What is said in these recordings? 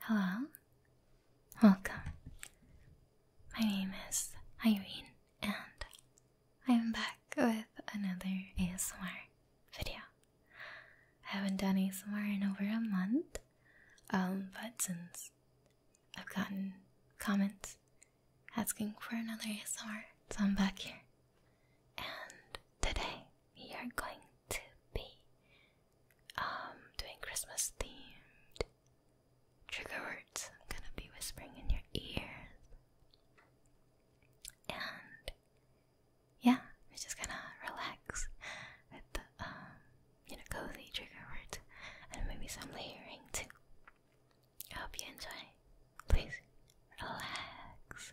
Hello, welcome. My name is Irene, and I'm back with another ASMR video. I haven't done ASMR in over a month, um, but since I've gotten comments asking for another ASMR, so I'm back here. And today we are going to be um, doing Christmas themed trigger words I'm gonna be whispering in your ear, And yeah, we're just gonna relax with the um, you know, cozy trigger words and maybe some layering too. I hope you enjoy. Please relax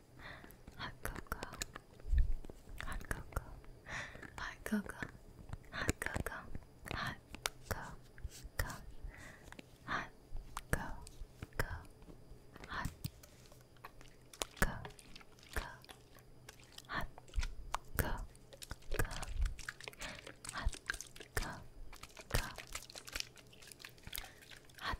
hot cocoa, hot cocoa, hot cocoa, hot cocoa, hot cocoa, hot cocoa, hot cocoa, hot cocoa, hot cocoa, hot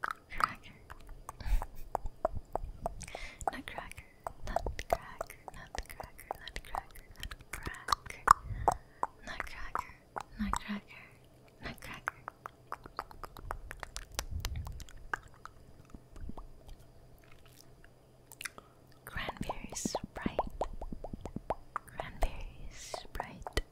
Cracker. Nutcracker. Nutcracker. Nutcracker. Nutcracker. Nutcracker. Nutcracker. Nutcracker. Nutcracker. Cranberry Sprite. Cranberry Sprite.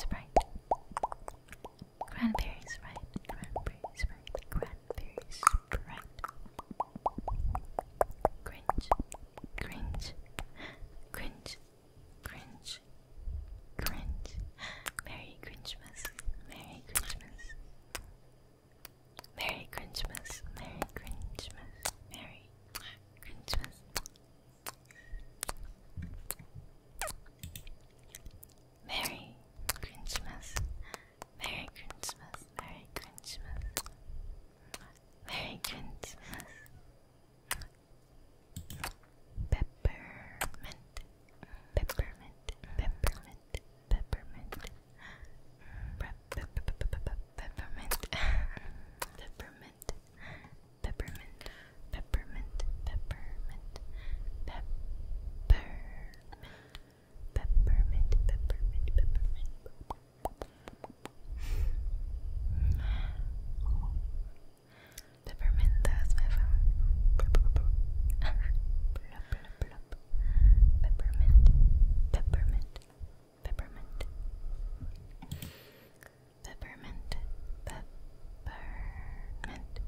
Sprite. Cranberry Sprite. Cranberry Sprite. Cranberry Sprite. Cringe. Cringe. Cringe. Cringe. Cringe. Merry Cringemas. Merry Cringemas. Merry Cringemas. Merry Cringemas. Merry Cringemas. Merry Christmas. Merry Christmas. Merry Christmas. Merry Christmas. Peppermint. Peppermint. Peppermint. Peppermint. Peppermint. Peppermint. Peppermint peppermint, peppermint, peppermint, peppermint, peppermint, peppermint, peppermint. Peppermint, that's my phone. Peppermint, peppermint, peppermint peppermint, peppermint, peppermint,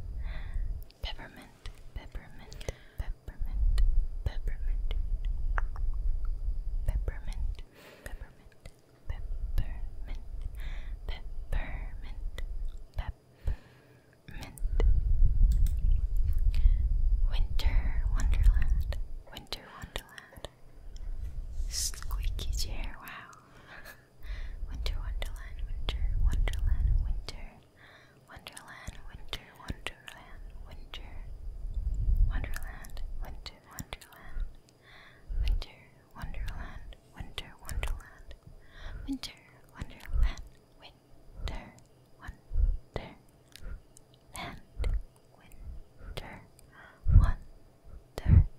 peppermint, peppermint, peppermint, peppermint, peppermint, peppermint, peppermint, peppermint. Winter Wonderland, Winter Wonderland. Squeaky chair, wow. Winter Wonderland, Winter Wonderland, Winter Wonderland, Winter Wonderland, Winter Wonderland, Winter Wonderland, Winter Wonderland, Winter Wonderland, Winter Wonderland, Winter Wonderland, Winter Wonderland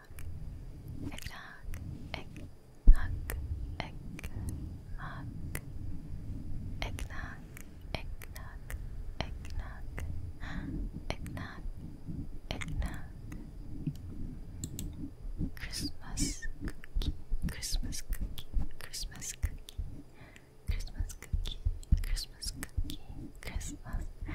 Eggnog, eggnog, eggnog, eggnog, eggnog, eggnog, eggnog, eggnog. Christmas cookie, Christmas cookie, Christmas cookie, Christmas cookie, Christmas cookie, Christmas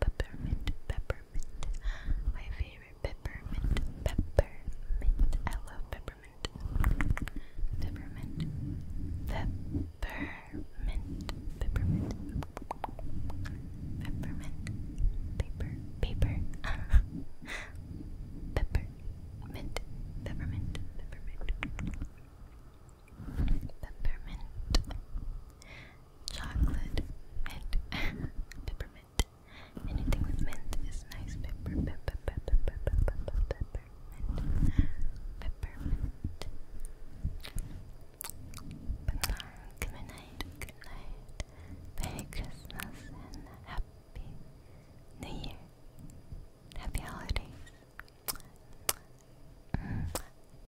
peppermint, peppermint. My favorite peppermint, peppermint. I love peppermint. Peppermint, peppermint, peppermint, peppermint, paper, paper, peppermint, peppermint, peppermint peppermint, chocolate, mint, peppermint. Anything with mint is nice. peppermint, peppermint. Good night, good night. Merry Christmas and Happy New Year. Happy holidays.